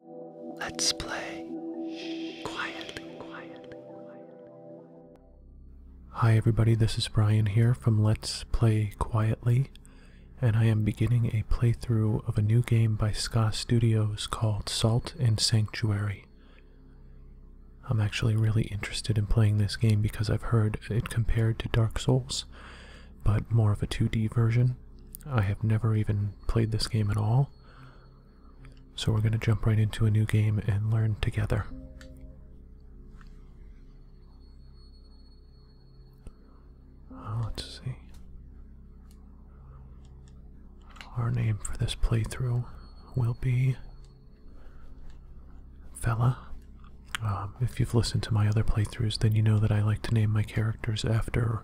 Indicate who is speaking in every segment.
Speaker 1: Let's play quietly, Hi, everybody, this is Brian here from Let's Play Quietly, and I am beginning a playthrough of a new game by Ska Studios called Salt and Sanctuary. I'm actually really interested in playing this game because I've heard it compared to Dark Souls, but more of a 2D version. I have never even played this game at all so we're going to jump right into a new game and learn together. Uh, let's see. Our name for this playthrough will be Fella. Um, if you've listened to my other playthroughs, then you know that I like to name my characters after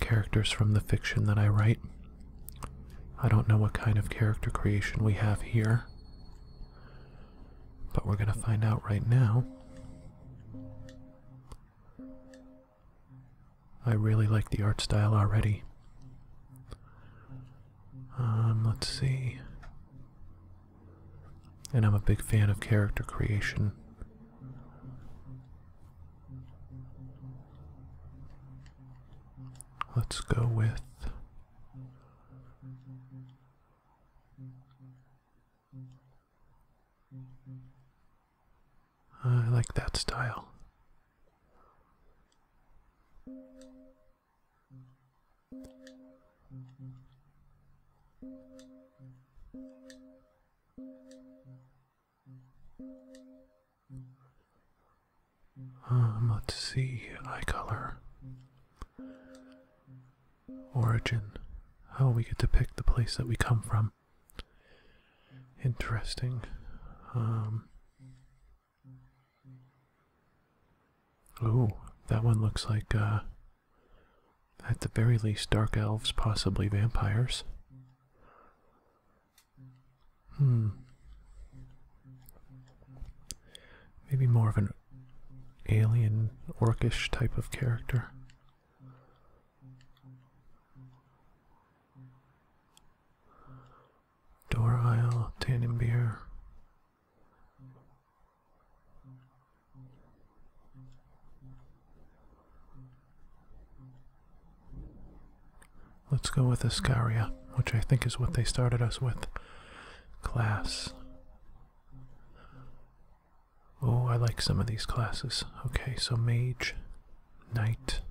Speaker 1: characters from the fiction that I write. I don't know what kind of character creation we have here, but we're going to find out right now. I really like the art style already. Um, let's see. And I'm a big fan of character creation. Let's go with I like that style. Um, let's see, eye color. Origin. How oh, we get to pick the place that we come from. Interesting. Um, ooh, that one looks like uh, at the very least, dark elves, possibly vampires. Hmm. Maybe more of an alien, orcish type of character. Door Isle, Tannenbeer. Let's go with Iscaria, which I think is what they started us with. Class. Oh, I like some of these classes. Okay, so mage, knight,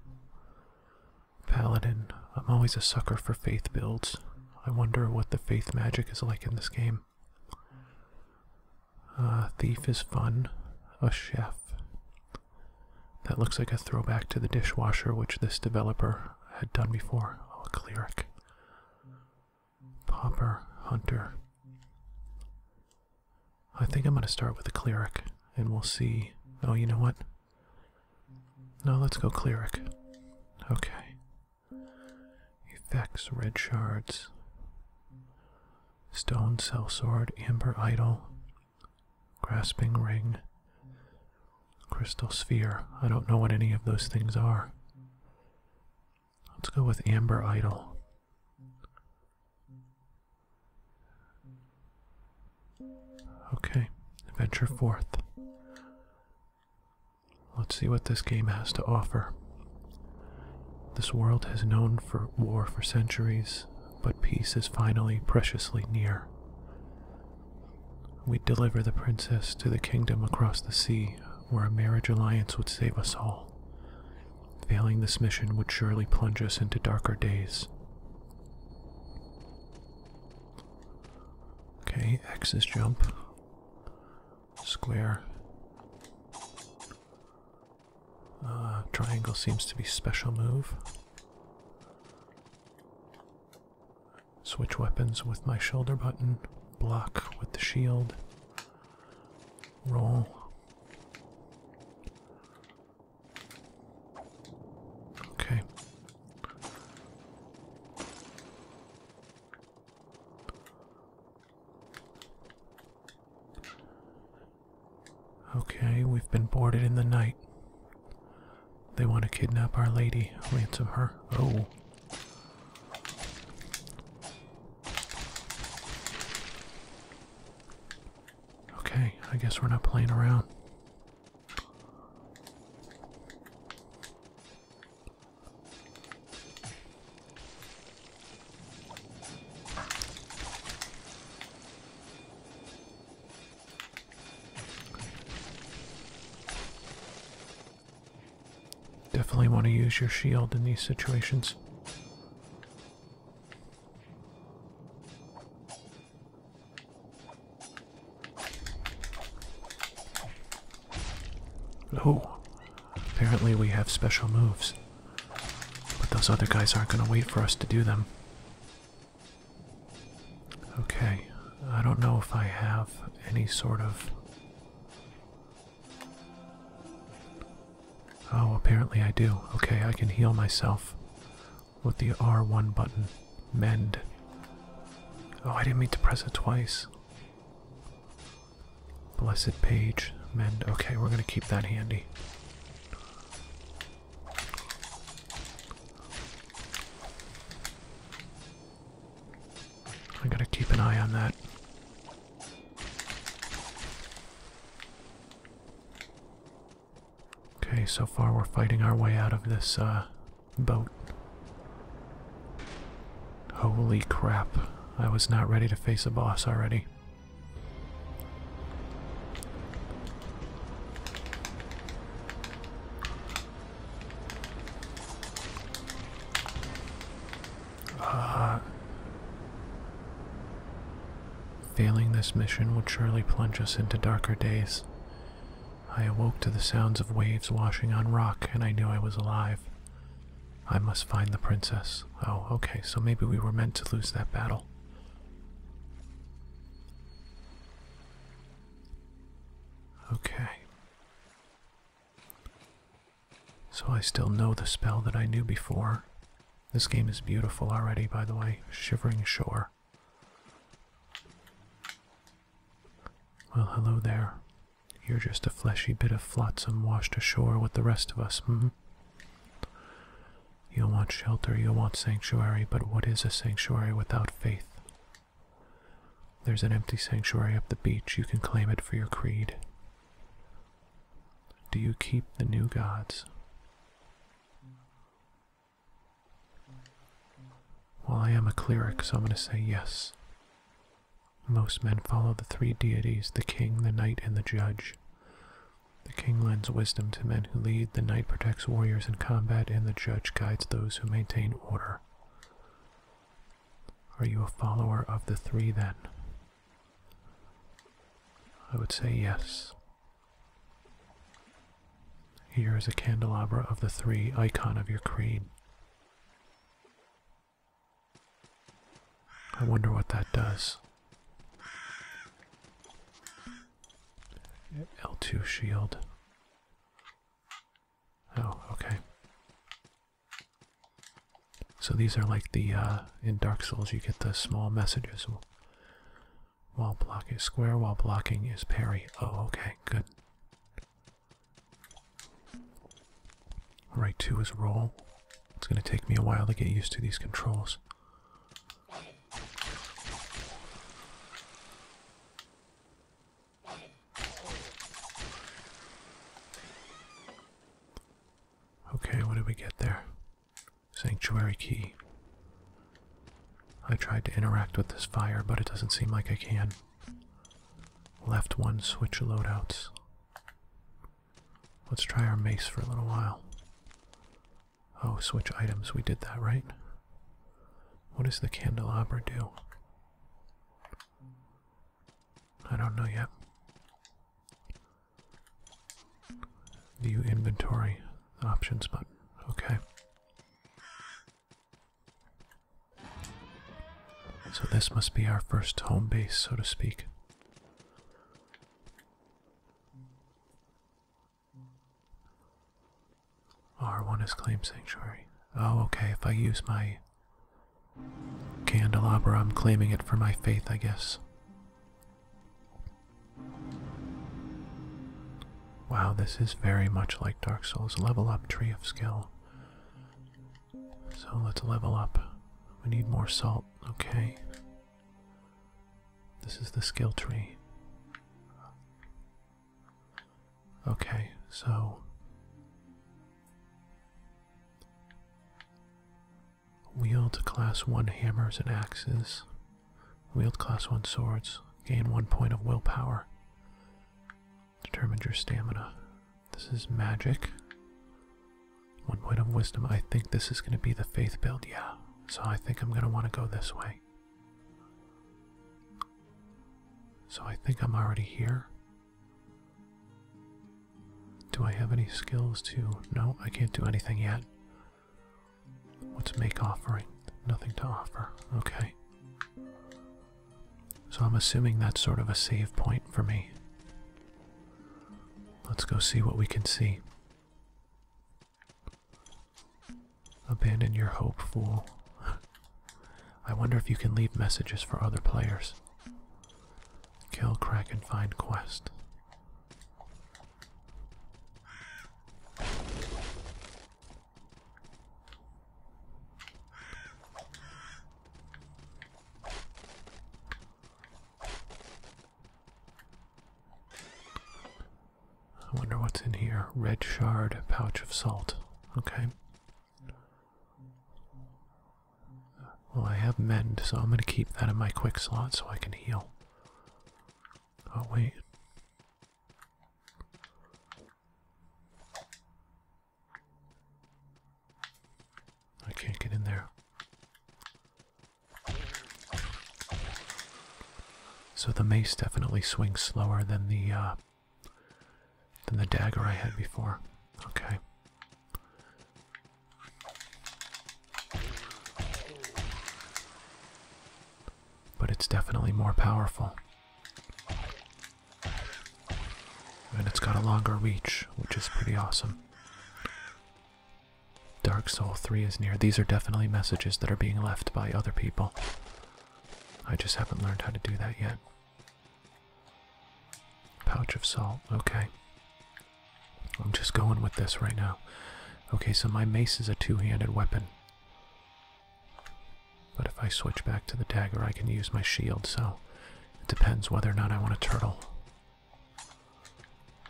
Speaker 1: paladin. I'm always a sucker for faith builds. I wonder what the faith magic is like in this game. A uh, thief is fun. A chef. That looks like a throwback to the dishwasher, which this developer had done before. Oh, a cleric. Pauper, hunter. I think I'm going to start with a cleric, and we'll see. Oh, you know what? No, let's go cleric. Okay effects, red shards, stone cell sword, amber idol, grasping ring, crystal sphere. I don't know what any of those things are. Let's go with amber idol. Okay, venture forth. Let's see what this game has to offer. This world has known for war for centuries, but peace is finally preciously near. We'd deliver the princess to the kingdom across the sea, where a marriage alliance would save us all. Failing this mission would surely plunge us into darker days. Okay, X is jump. Square. Uh, triangle seems to be special move. Switch weapons with my shoulder button. Block with the shield. Roll. Okay. Okay, we've been boarded in the night. They want to kidnap our lady, ransom her. Oh. Okay, I guess we're not playing around. Definitely want to use your shield in these situations. Oh, Apparently, we have special moves. But those other guys aren't going to wait for us to do them. Okay, I don't know if I have any sort of. Oh, apparently I do. Okay, I can heal myself with the R1 button. Mend. Oh, I didn't mean to press it twice. Blessed page, mend. Okay, we're gonna keep that handy. I gotta keep an eye on that. Okay, so far we're fighting our way out of this uh, boat. Holy crap, I was not ready to face a boss already. Uh, failing this mission would surely plunge us into darker days. I awoke to the sounds of waves washing on rock, and I knew I was alive. I must find the princess. Oh, okay, so maybe we were meant to lose that battle. Okay. So I still know the spell that I knew before. This game is beautiful already, by the way. Shivering Shore. Well, hello there. You're just a fleshy bit of flotsam washed ashore with the rest of us, hmm? You'll want shelter, you'll want sanctuary, but what is a sanctuary without faith? There's an empty sanctuary up the beach, you can claim it for your creed. Do you keep the new gods? Well, I am a cleric, so I'm going to say yes. Most men follow the three deities the king, the knight, and the judge. The king lends wisdom to men who lead, the knight protects warriors in combat, and the judge guides those who maintain order. Are you a follower of the three then? I would say yes. Here is a candelabra of the three icon of your creed. I wonder what that does. L2 shield. Oh, okay. So these are like the, uh, in Dark Souls you get the small messages. While blocking, is square, while blocking is parry. Oh, okay, good. Right two is roll. It's going to take me a while to get used to these controls. Okay, what did we get there? Sanctuary key. I tried to interact with this fire, but it doesn't seem like I can. Left one, switch loadouts. Let's try our mace for a little while. Oh, switch items. We did that, right? What does the candelabra do? I don't know yet. View inventory options button. Okay so this must be our first home base, so to speak. R1 is Claim Sanctuary. Oh, okay, if I use my candelabra, I'm claiming it for my faith, I guess. Wow, this is very much like Dark Souls. Level up Tree of Skill. So let's level up. We need more salt, okay. This is the skill tree. Okay, so wield class 1 hammers and axes, wield class 1 swords, gain 1 point of willpower. Determined your stamina. This is magic. One point of wisdom. I think this is going to be the faith build, yeah. So I think I'm going to want to go this way. So I think I'm already here. Do I have any skills to. No, I can't do anything yet. What's make offering? Nothing to offer. Okay. So I'm assuming that's sort of a save point for me. Let's go see what we can see. Abandon your hope, fool. I wonder if you can leave messages for other players. Kill, crack, and find quest. I wonder what's in here. Red shard, pouch of salt. Okay. Well, I have mend, so I'm going to keep that in my quick slot so I can heal. Oh, wait. I can't get in there. So the mace definitely swings slower than the uh, than the dagger I had before. Okay. But it's definitely more powerful. And it's got a longer reach, which is pretty awesome. Dark Soul 3 is near. These are definitely messages that are being left by other people. I just haven't learned how to do that yet. Pouch of salt, okay. I'm just going with this right now. Okay, so my mace is a two-handed weapon. But if I switch back to the dagger, I can use my shield, so it depends whether or not I want a turtle.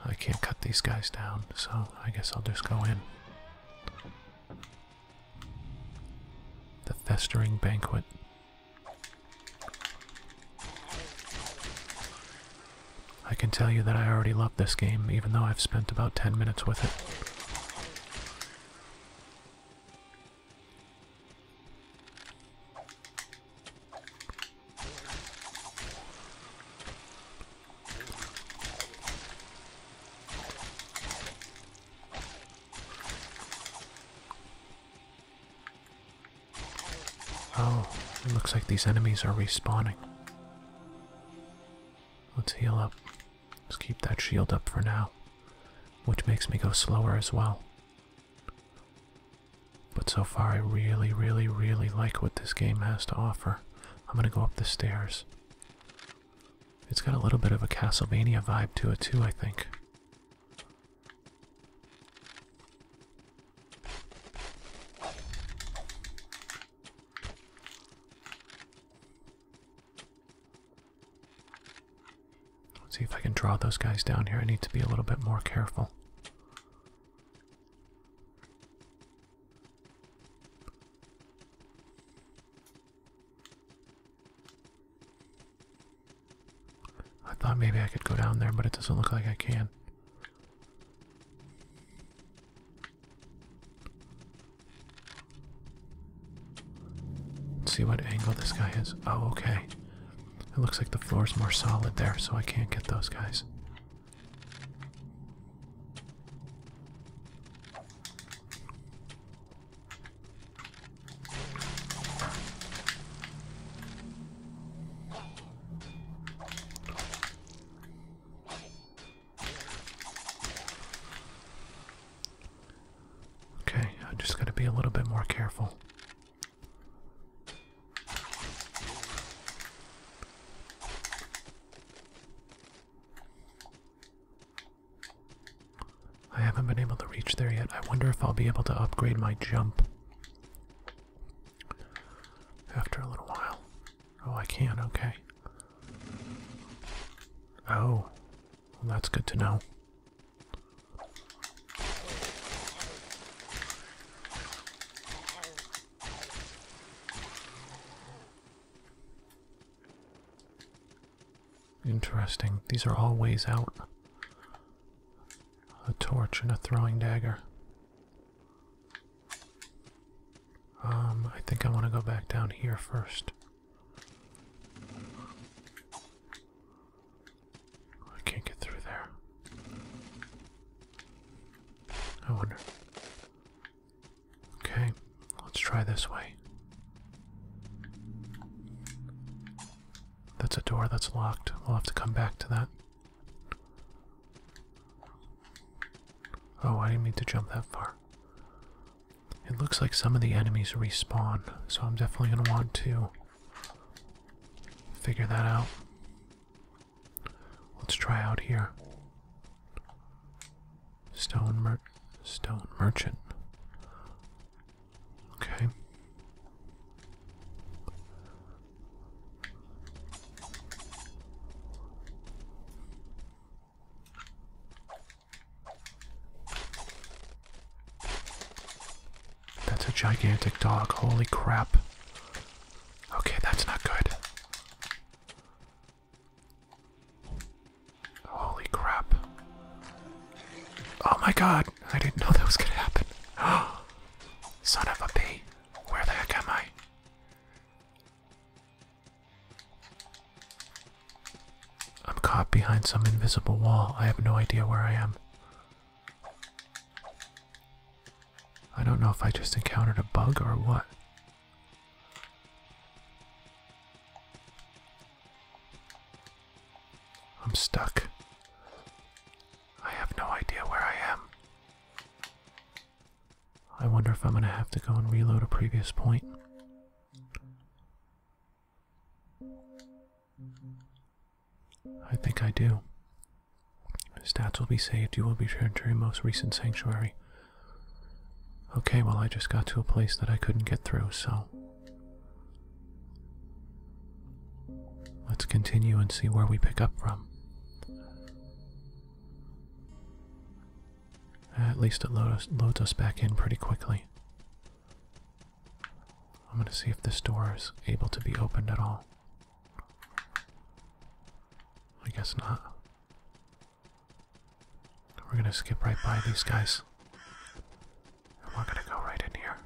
Speaker 1: I can't cut these guys down, so I guess I'll just go in. The Festering Banquet. I can tell you that I already love this game, even though I've spent about 10 minutes with it. Oh, it looks like these enemies are respawning. Let's heal up. Let's keep that shield up for now, which makes me go slower as well. But so far, I really, really, really like what this game has to offer. I'm gonna go up the stairs. It's got a little bit of a Castlevania vibe to it, too, I think. Let's see if I can draw those guys down here. I need to be a little bit more careful. I thought maybe I could go down there, but it doesn't look like I can see what angle this guy is. Oh, okay. It looks like the floor's more solid there, so I can't get those guys. Okay, I just gotta be a little bit more careful. I haven't been able to reach there yet. I wonder if I'll be able to upgrade my jump after a little while. Oh, I can, okay. Oh, that's good to know. Interesting. These are all ways out. A torch and a throwing dagger. Um, I think I want to go back down here first. I can't get through there. I wonder. Okay, let's try this way. That's a door that's locked. We'll have to come back to that. Oh, I didn't mean to jump that far. It looks like some of the enemies respawn, so I'm definitely going to want to figure that out. Let's try out here. Stone mer stone merchant. Okay. That's a gigantic dog. Holy crap. Okay, that's not good. Holy crap. Oh my god. I didn't know that was going to happen. Son of a b! Where the heck am I? I'm caught behind some invisible wall. I have no idea where I am. I don't know if I just encountered a bug or what. I'm stuck. I have no idea where I am. I wonder if I'm going to have to go and reload a previous point. I think I do. Stats will be saved. You will be returned to your most recent sanctuary. Okay, well, I just got to a place that I couldn't get through, so. Let's continue and see where we pick up from. Uh, at least it loads, us back in pretty quickly. I'm going to see if this door is able to be opened at all. I guess not. We're going to skip right by these guys. And we're going to go right in here.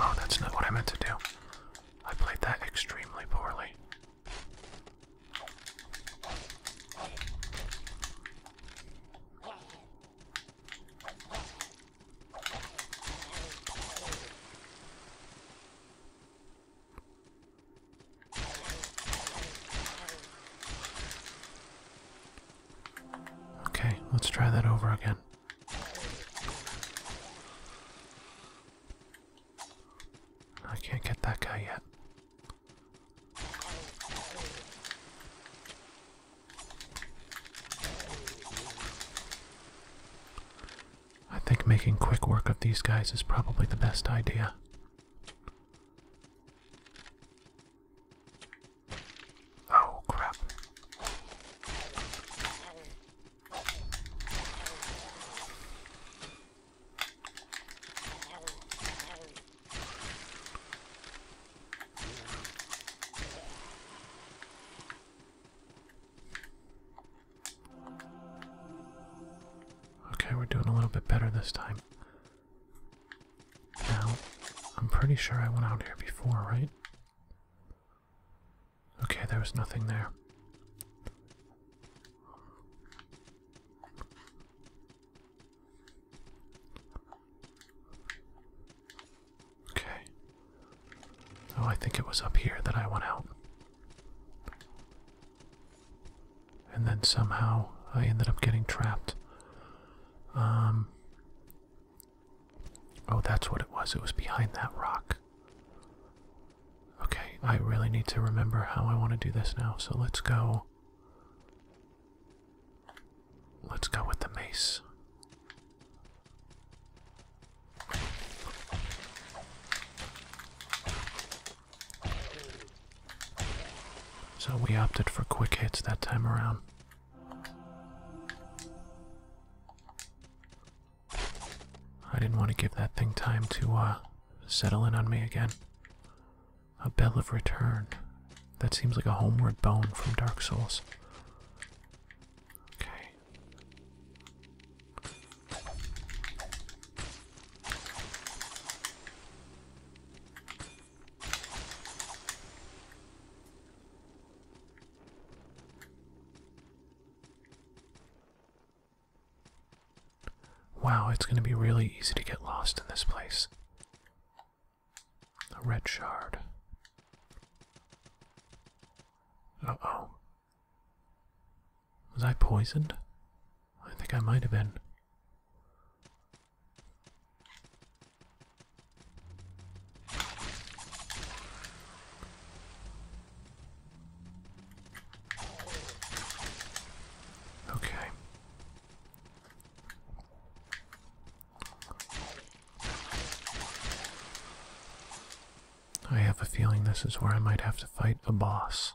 Speaker 1: Oh, that's not what I meant to do. I played that extremely poorly. Okay, let's try that over again. I can't get that guy yet. I think making quick work of these guys is probably the best idea. Oh crap. Okay, we're doing a little bit better this time. Now, I'm pretty sure I went out here before, right? Okay, there was nothing there. Okay. Oh, I think it was up here that I went out. And then somehow I ended up getting trapped. Um. Oh, that's what it was. It was behind that rock. Okay, I really need to remember how I want to do this now, so let's go. Let's go with the mace. So we opted for quick hits that time around. I didn't want to give that thing time to uh, settle in on me again. A Bell of Return. That seems like a homeward bone from Dark Souls. Okay. Wow, it's going to be really easy to get lost in this place. A red shard. Uh oh. Was I poisoned? I think I might have been. Okay. I have a feeling this is where I might have to fight a boss.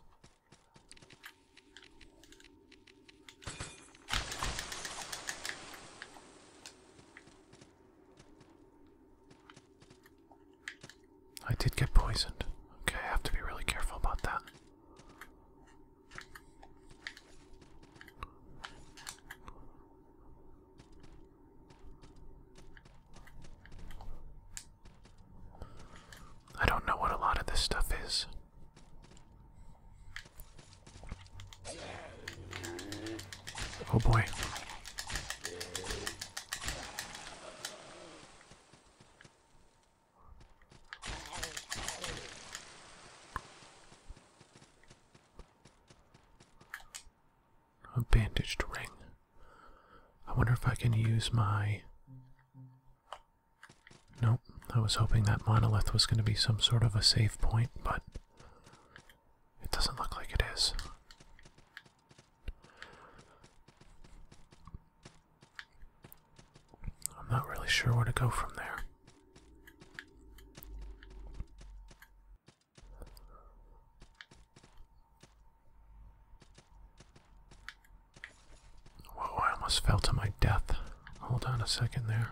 Speaker 1: I did get poisoned. Okay, I have to be really careful about that. I don't know what a lot of this stuff is. Oh boy. A bandaged ring. I wonder if I can use my. Nope. I was hoping that monolith was going to be some sort of a safe point, but it doesn't look like it is. I'm not really sure where to go from there. Whoa, I almost fell to my death. Hold on a second there.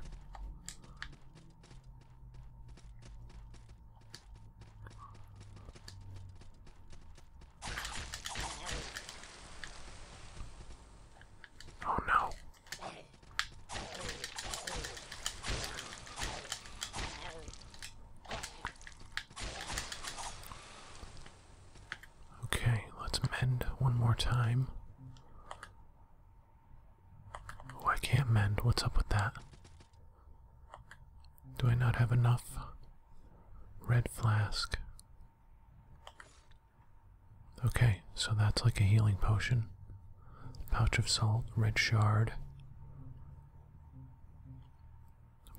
Speaker 1: Oh no. Okay, let's mend one more time. Oh, I can't mend. What's up with that? Do I not have enough? Red flask. Okay, so that's like a healing potion. Pouch of salt, red shard.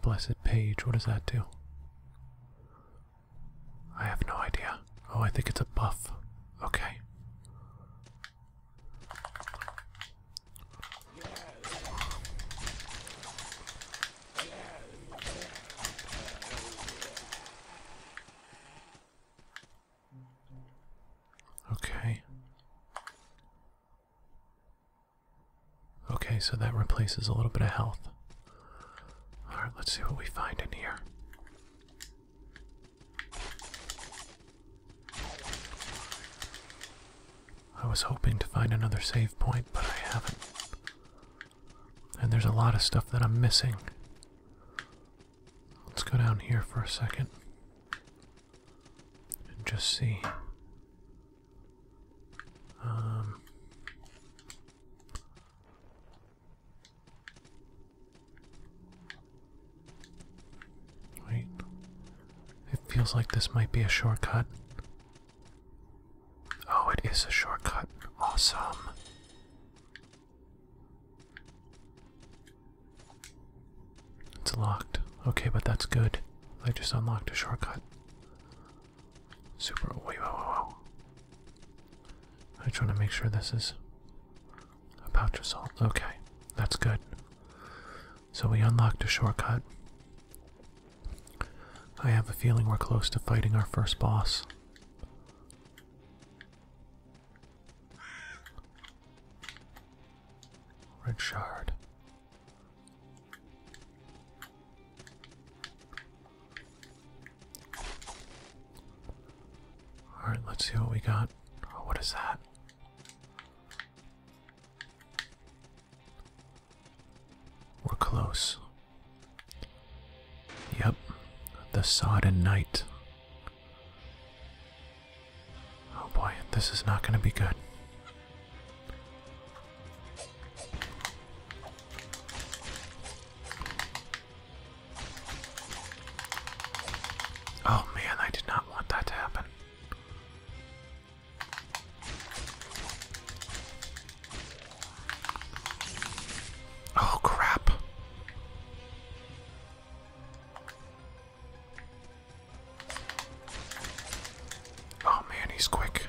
Speaker 1: Blessed page, what does that do? I have no idea. Oh, I think it's a buff. Okay. Okay. Okay, so that replaces a little bit of health. Alright, let's see what we find in here. I was hoping to find another save point, but I haven't. And there's a lot of stuff that I'm missing. Let's go down here for a second and just see. Um, Wait. It feels like this might be a shortcut. Oh, it is a shortcut. Awesome. It's locked. Okay, but that's good. I just unlocked a shortcut. Super. Wait, whoa, whoa, whoa. I just want to make sure this is a pouch of salt. Okay, that's good. So we unlocked a shortcut. I have a feeling we're close to fighting our first boss. Red shard. Alright, let's see what we got. Oh, what is that? We're close. Yep, the sodden night. Oh boy, this is not going to be good. Oh man, I did not want that to happen. Oh, crap. Oh, man, he's quick.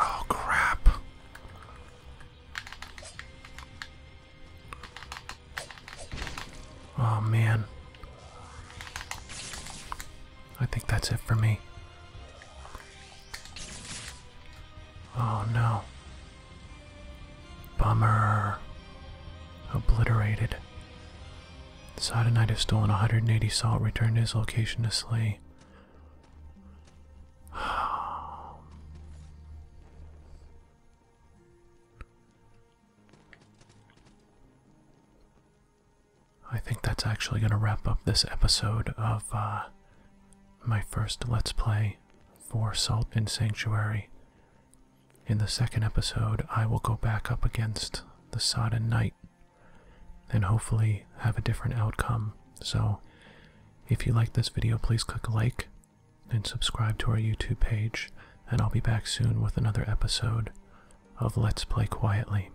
Speaker 1: Oh, crap. Oh, man. I think that's it for me. Oh no. Bummer. Obliterated. Sidonite has stolen 180 salt, returned to his location to slay. I think that's actually going to wrap up this episode of uh, my first Let's Play for Salt and Sanctuary. In the second episode, I will go back up against the Sodden Knight and hopefully have a different outcome. So, if you like this video, please click like and subscribe to our YouTube page, and I'll be back soon with another episode of Let's Play Quietly.